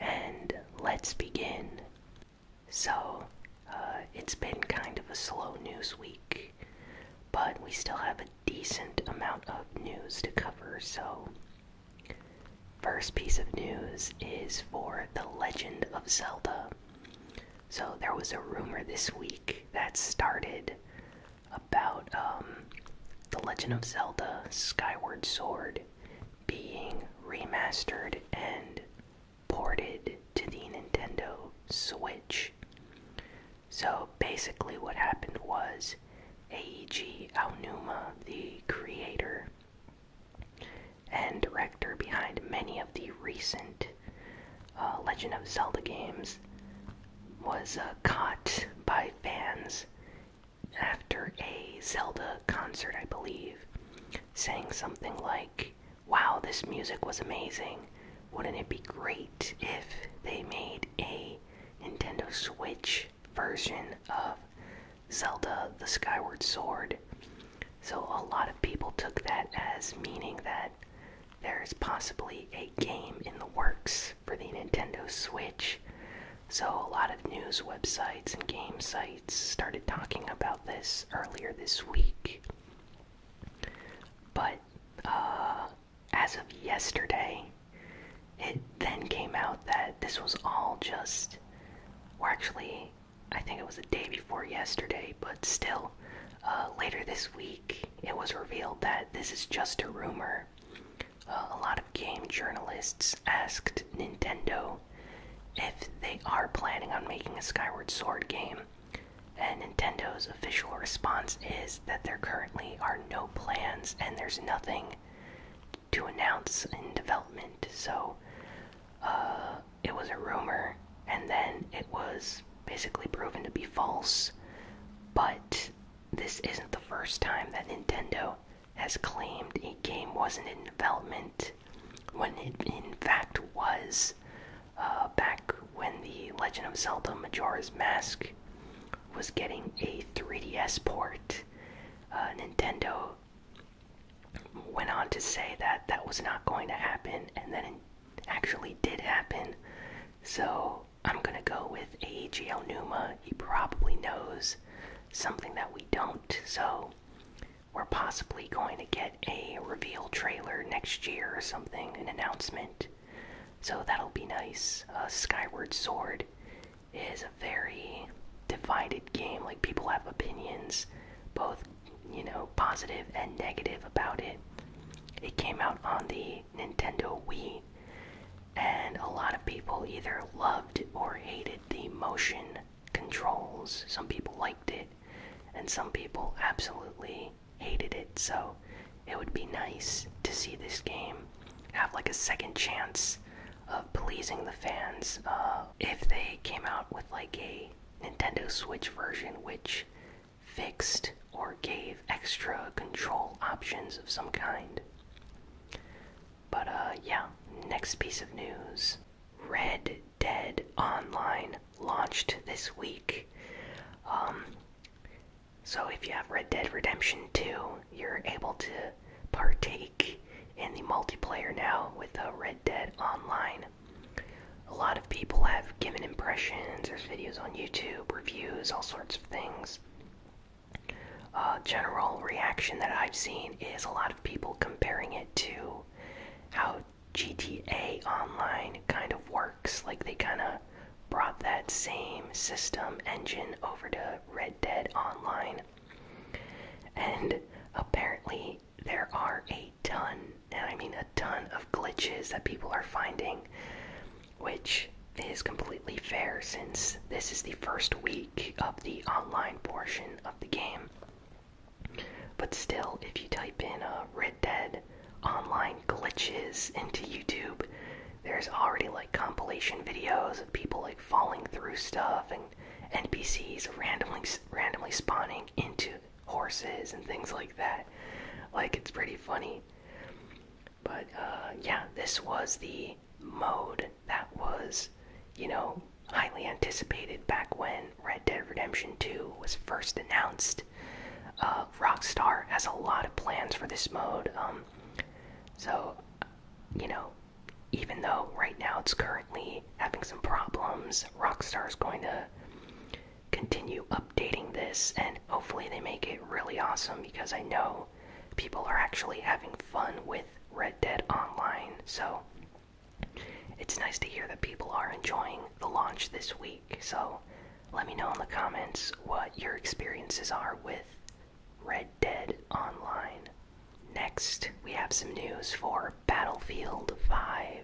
and let's begin. So, uh, it's been kind of a slow news week, but we still have a decent amount of news to cover. So, first piece of news is for The Legend of Zelda. So, there was a rumor this week that started about um, the Legend of Zelda Skyward Sword being remastered and ported to the Nintendo Switch. So basically, what happened was Eiji Aonuma, the creator and director behind many of the recent uh, Legend of Zelda games, was uh, caught by fans after a Zelda concert, I believe, saying something like, Wow, this music was amazing. Wouldn't it be great if they made a Nintendo Switch version of Zelda the Skyward Sword? So, a lot of people took that as meaning that there's possibly a game in the works for the Nintendo Switch. So, a lot of news websites and game sites started talking about this earlier this week. But uh, as of yesterday, it then came out that this was all just, or actually, I think it was a day before yesterday, but still, uh, later this week, it was revealed that this is just a rumor uh, a lot of game journalists asked Nintendo if they are planning on making a Skyward Sword game, and Nintendo's official response is that there currently are no plans and there's nothing to announce in development. So, uh, it was a rumor, and then it was basically proven to be false. But this isn't the first time that Nintendo has claimed a game wasn't in development when it in fact was. Uh, back when the Legend of Zelda Majora's Mask was getting a 3DS port, uh, Nintendo went on to say that that was not going to happen, and then it actually did happen. So I'm gonna go with Eiji Numa. He probably knows something that we don't. So we're possibly going to get a reveal trailer next year or something, an announcement. So that'll be nice. Uh, Skyward Sword is a very divided game. Like, people have opinions, both, you know, positive and negative about it. It came out on the Nintendo Wii, and a lot of people either loved or hated the motion controls. Some people liked it, and some people absolutely hated it. So it would be nice to see this game have like a second chance of pleasing the fans uh, if they came out with like a Nintendo Switch version which fixed or gave extra control options of some kind. But uh, yeah, next piece of news Red Dead Online launched this week. Um, so if you have Red Dead Redemption 2, you're able to partake in the multiplayer now with Red Dead Online. A lot of people have given impressions, there's videos on YouTube, reviews, all sorts of things. Uh, general reaction that I've seen is a lot of people comparing it to how GTA Online kind of works. Like they kind of brought that same system engine over to Red Dead Online. And apparently, there are a ton, and I mean a ton of glitches that people are finding, which is completely fair since this is the first week of the online portion of the game. But still, if you type in uh, Red Dead online glitches into YouTube, there's already like compilation videos of people like falling through stuff and NPCs randomly randomly spawning into horses and things like that. Like it's pretty funny. But uh, yeah, this was the mode that was, you know, highly anticipated back when Red Dead Redemption 2 was first announced. Uh, Rockstar has a lot of plans for this mode. Um, so, you know, even though right now it's currently having some problems, Rockstar is going to continue updating this and hopefully they make it really awesome because I know people. are actually having fun with Red Dead Online, so it's nice to hear that people are enjoying the launch this week. So let me know in the comments what your experiences are with Red Dead Online. Next, we have some news for Battlefield 5.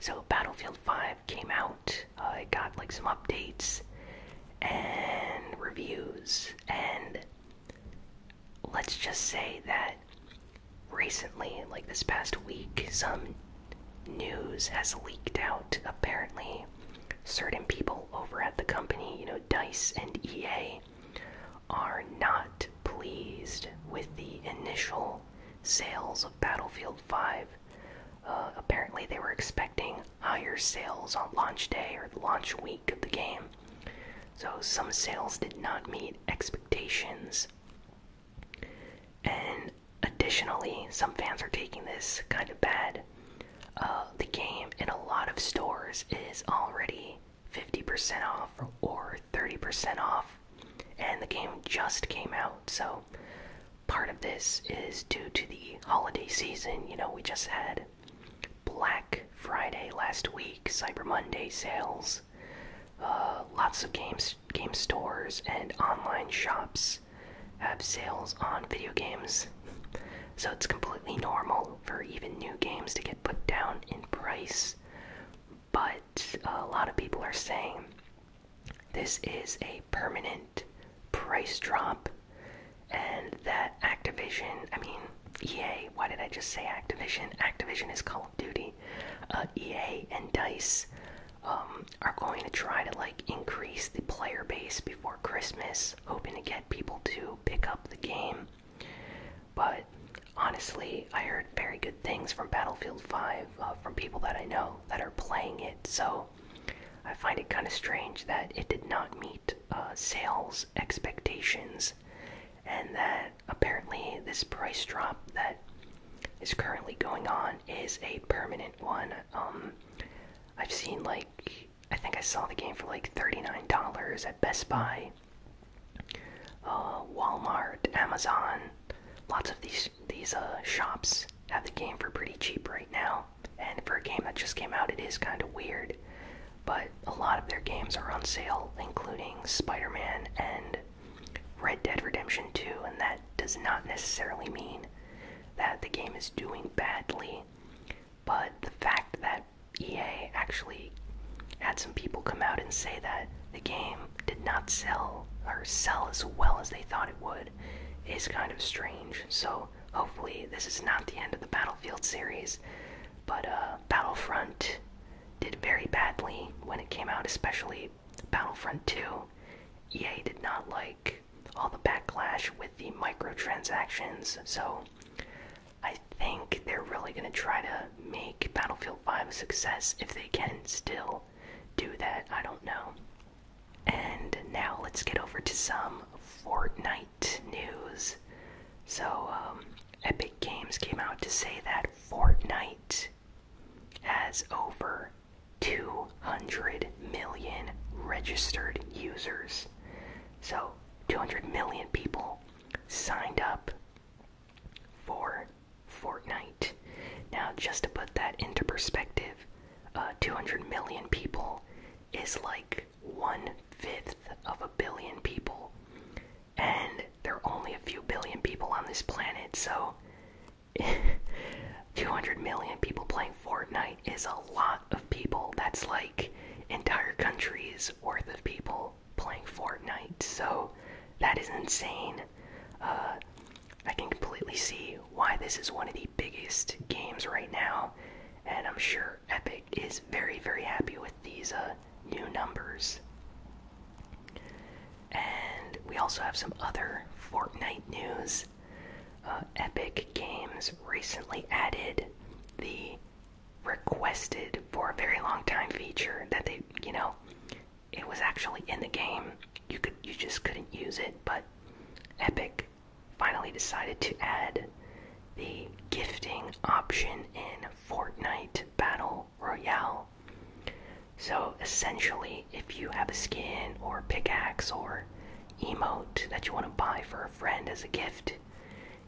So, Battlefield 5 came out, uh, it got like some updates and reviews, and let's just say that recently, like this past week, some news has leaked out. Apparently, certain people over at the company, you know, DICE and EA, are not pleased with the initial sales of Battlefield 5. Uh, apparently, they were expecting higher sales on launch day or launch week of the game, so some sales did not meet expectations. And additionally, some fans are taking this kind of bad. Uh, the game in a lot of stores is already 50% off or 30% off, and the game just came out. So part of this is due to the holiday season. You know, we just had Black Friday last week, Cyber Monday sales, uh, lots of games, game stores, and online shops have sales on video games. So it's completely normal for even new games to get put down in price. But a lot of people are saying this is a permanent price drop, and that Activision, I mean, EA, why did I just say Activision? Activision is Call of Duty. Uh, EA and DICE um, are going to try to like increase the player base before Christmas, hoping to get people to pick up the game. But honestly, I heard very good things from Battlefield 5 uh, from people that I know that are playing it, so I find it kind of strange that it did not meet uh, sales expectations and that apparently this price drop that is currently going on is a permanent one. Um, I've seen like I think I saw the game for like thirty-nine dollars at Best Buy, uh, Walmart, Amazon. Lots of these these uh, shops have the game for pretty cheap right now, and for a game that just came out, it is kind of weird but a lot of their games are on sale, including Spider Man and Red Dead Redemption 2, and that does not necessarily mean that the game is doing badly, but the fact that EA actually had some people come out and say that the game did not sell or sell as well as they thought it would is kind of strange. So hopefully this is not the end of the Battlefield series, but uh, Battlefront did very badly when it came out, especially Battlefront 2. EA did not like all the backlash with the microtransactions, so I think they're really going to try to make Battlefield 5 a success if they can still do that. I don't know. And now let's get over to some Fortnite news. So, um, Epic Games came out to say that Fortnite has over 200 million registered users. So, 200 million people signed up for Fortnite. Now, just to put that into perspective, uh, 200 million people is like one fifth of a billion people. And there are only a few billion people on this planet, so 200 million people playing Fortnite is a lot of people. That's like entire countries worth of people playing Fortnite, so that is insane. Uh, I can completely see why this is one of the biggest games right now, and I'm sure Epic is very, very happy with these uh, new numbers. And we also have some other Fortnite news. Uh, Epic Games recently added the requested for a very long time feature that they, you know, it was actually in the game. You could, you just couldn't use it, but Epic finally decided to add the gifting option in Fortnite Battle Royale. So essentially, if you have a skin or pickaxe or emote that you want to buy for a friend as a gift,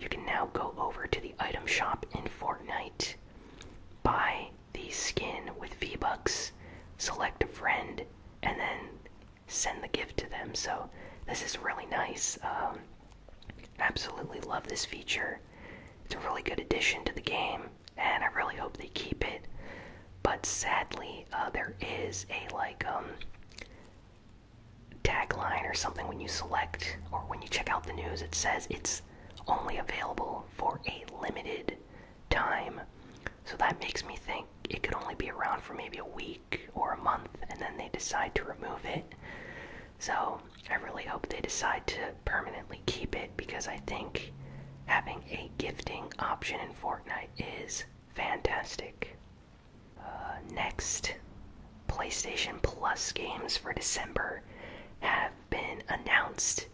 you can now go over to the item shop in Fortnite, buy the skin with V-Bucks, select a friend, and then send the gift to them. So this is really nice. Um, absolutely love this feature. It's a really good addition to the game, and I really hope they keep it. But sadly, uh, there is a like um, tagline or something when you select or when you check out the news. It says it's only available for a limited time. So that makes me think it could only be around for maybe a week or a month, and then they decide to remove it. So I really hope they decide to permanently keep it because I think having a gifting option in Fortnite is fantastic. Uh, next, PlayStation Plus games for December have been announced,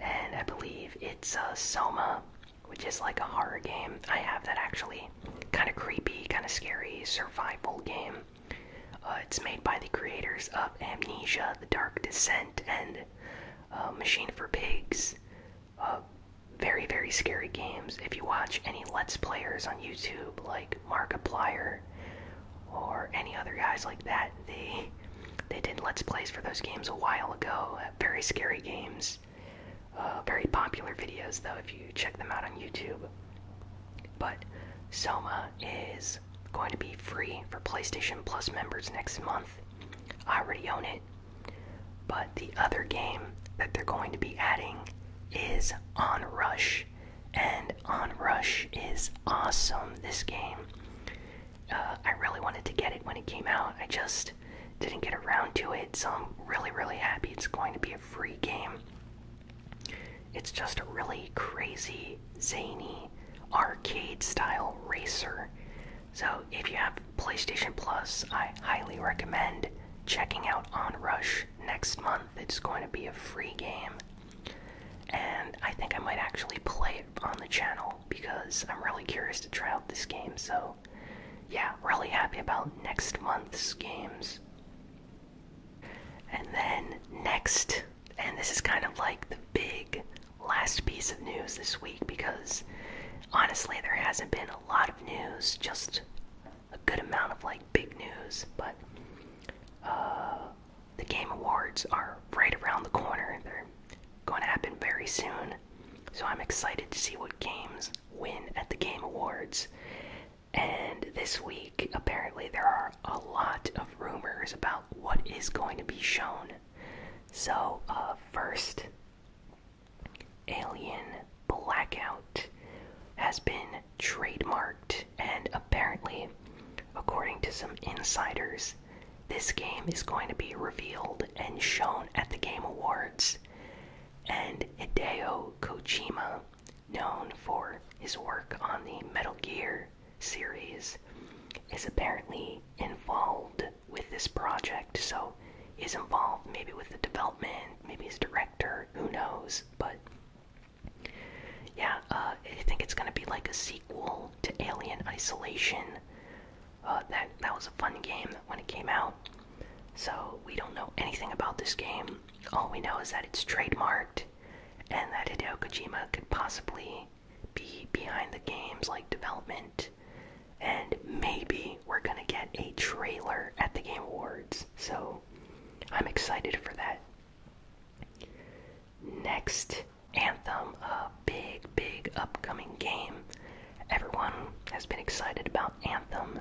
and I believe it's a uh, Soma, which is like a horror game. I have that actually. Kind of creepy, kind of scary survival game. Uh, it's made by the creators of Amnesia, The Dark Descent, and uh, Machine for Pigs. Uh, very, very scary games. If you watch any Let's Players on YouTube, like Markiplier or any other guys like that, they they did Let's Plays for those games a while ago. Very scary games. very popular videos, though, if you check them out on YouTube. But Soma is going to be free for PlayStation Plus members next month. I already own it. But the other game that they're going to be adding is Onrush. And Onrush is awesome, this game. Uh, I really wanted to get it when it came out. I just didn't get around to it, so I'm really, really happy it's going to be a free game. It's just a really crazy, zany, arcade style racer. So, if you have PlayStation Plus, I highly recommend checking out On Rush next month. It's going to be a free game. And I think I might actually play it on the channel because I'm really curious to try out this game. So, yeah, really happy about next month's games. And then next, and this is kind of like the big last piece of news this week because honestly, there hasn't been a lot of news, just a good amount of like big news, but uh, the Game Awards are right around the corner. They're going to happen very soon. So I'm excited to see what games win at the Game Awards. And this week, apparently, there are a lot of rumors about what is going to be shown. So, uh, first, Alien Blackout has been trademarked, and apparently, according to some insiders, this game is going to be revealed and shown at the Game Awards. And Hideo Kojima known for his work on the Metal Gear series, is apparently involved with this project. So, is involved maybe with the development, maybe as director, who knows? But yeah, uh, I think it's gonna be like a sequel to Alien Isolation. Uh, that that was a fun game when it came out. So we don't know anything about this game. All we know is that it's trademarked and that Hideo Kojima could possibly be behind the game's like development. And maybe we're gonna get a trailer at the Game Awards. So I'm excited for that. Next, Anthem, a big, big upcoming game. Everyone has been excited about Anthem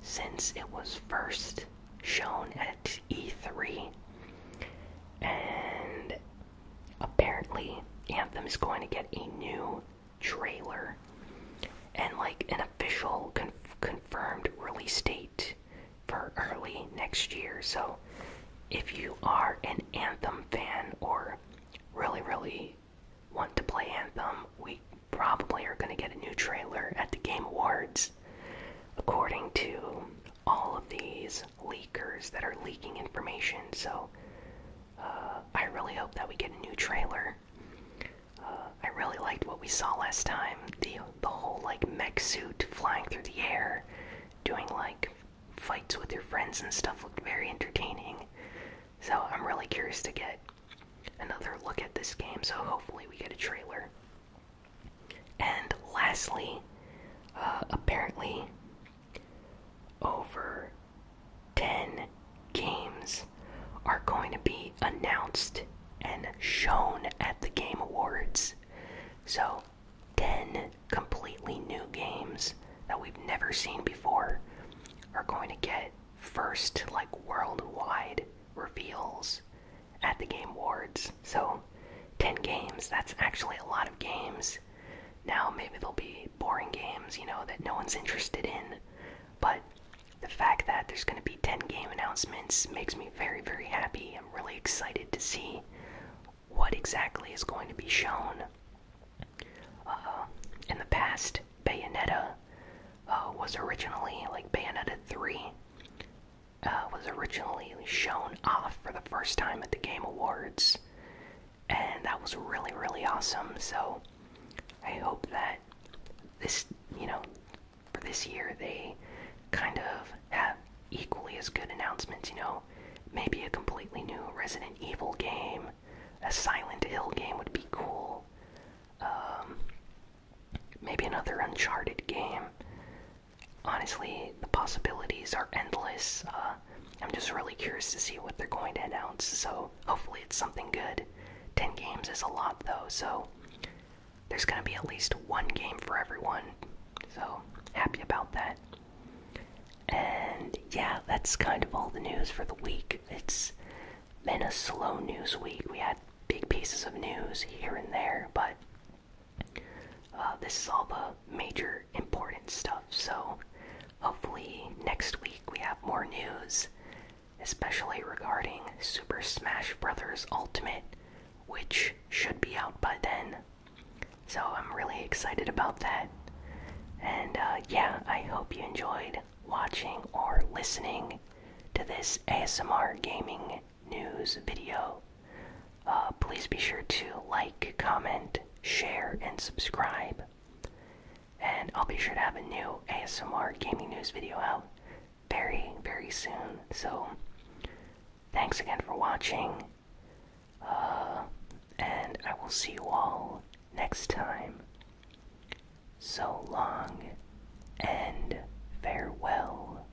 since it was first shown at E3. And apparently, Anthem is going to get a new trailer and like an official con confirmed release date for early next year. So, if you are an Anthem fan or really, really want to play Anthem, we probably are going to get a new trailer at the Game Awards, according to all of these leakers that are leaking information. So uh, I really hope that we get a new trailer. Uh, I really liked what we saw last time. The the whole like mech suit flying through the air, doing like fights with your friends and stuff looked very entertaining. So I'm really curious to get another look at this game. So hopefully we get a trailer. And lastly, uh, apparently, over 10 games are going to be announced and shown at the Game Awards. So, 10 completely new games that we've never seen before are going to get first, like, worldwide reveals at the game wards. So, 10 games, that's actually a lot of games. Now, maybe there'll be boring games, you know, that no one's interested in, but the fact that there's going to be 10 game announcements makes me very, very happy. I'm really excited to see what exactly is going to be shown. Uh, in the past, Bayonetta uh, was originally like Bayonetta 3 uh, was originally shown off for the first time at the Game Awards, and that was really, really awesome. So I hope that this, you know, for this year they kind of have equally as good announcements, you know. Maybe a completely new Resident Evil game, a Silent Hill game would be cool. Um, maybe another Uncharted game honestly, the possibilities are endless. Uh, I'm just really curious to see what they're going to announce, so hopefully it's something good. 10 games is a lot, though, so there's going to be at least one game for everyone, so happy about that. And yeah, that's kind of all the news for the week. It's been a slow news week. We had big pieces of news here and there, but uh, this is all the major important stuff, so hopefully next week we have more news, especially regarding Super Smash Bros. Ultimate, which should be out by then. So I'm really excited about that. And uh, yeah, I hope you enjoyed watching or listening to this ASMR gaming news video. Uh, please be sure to like, comment, share, and subscribe. And I'll be sure to have a new ASMR gaming news video out very, very soon. So, thanks again for watching. Uh, and I will see you all next time. So long and farewell.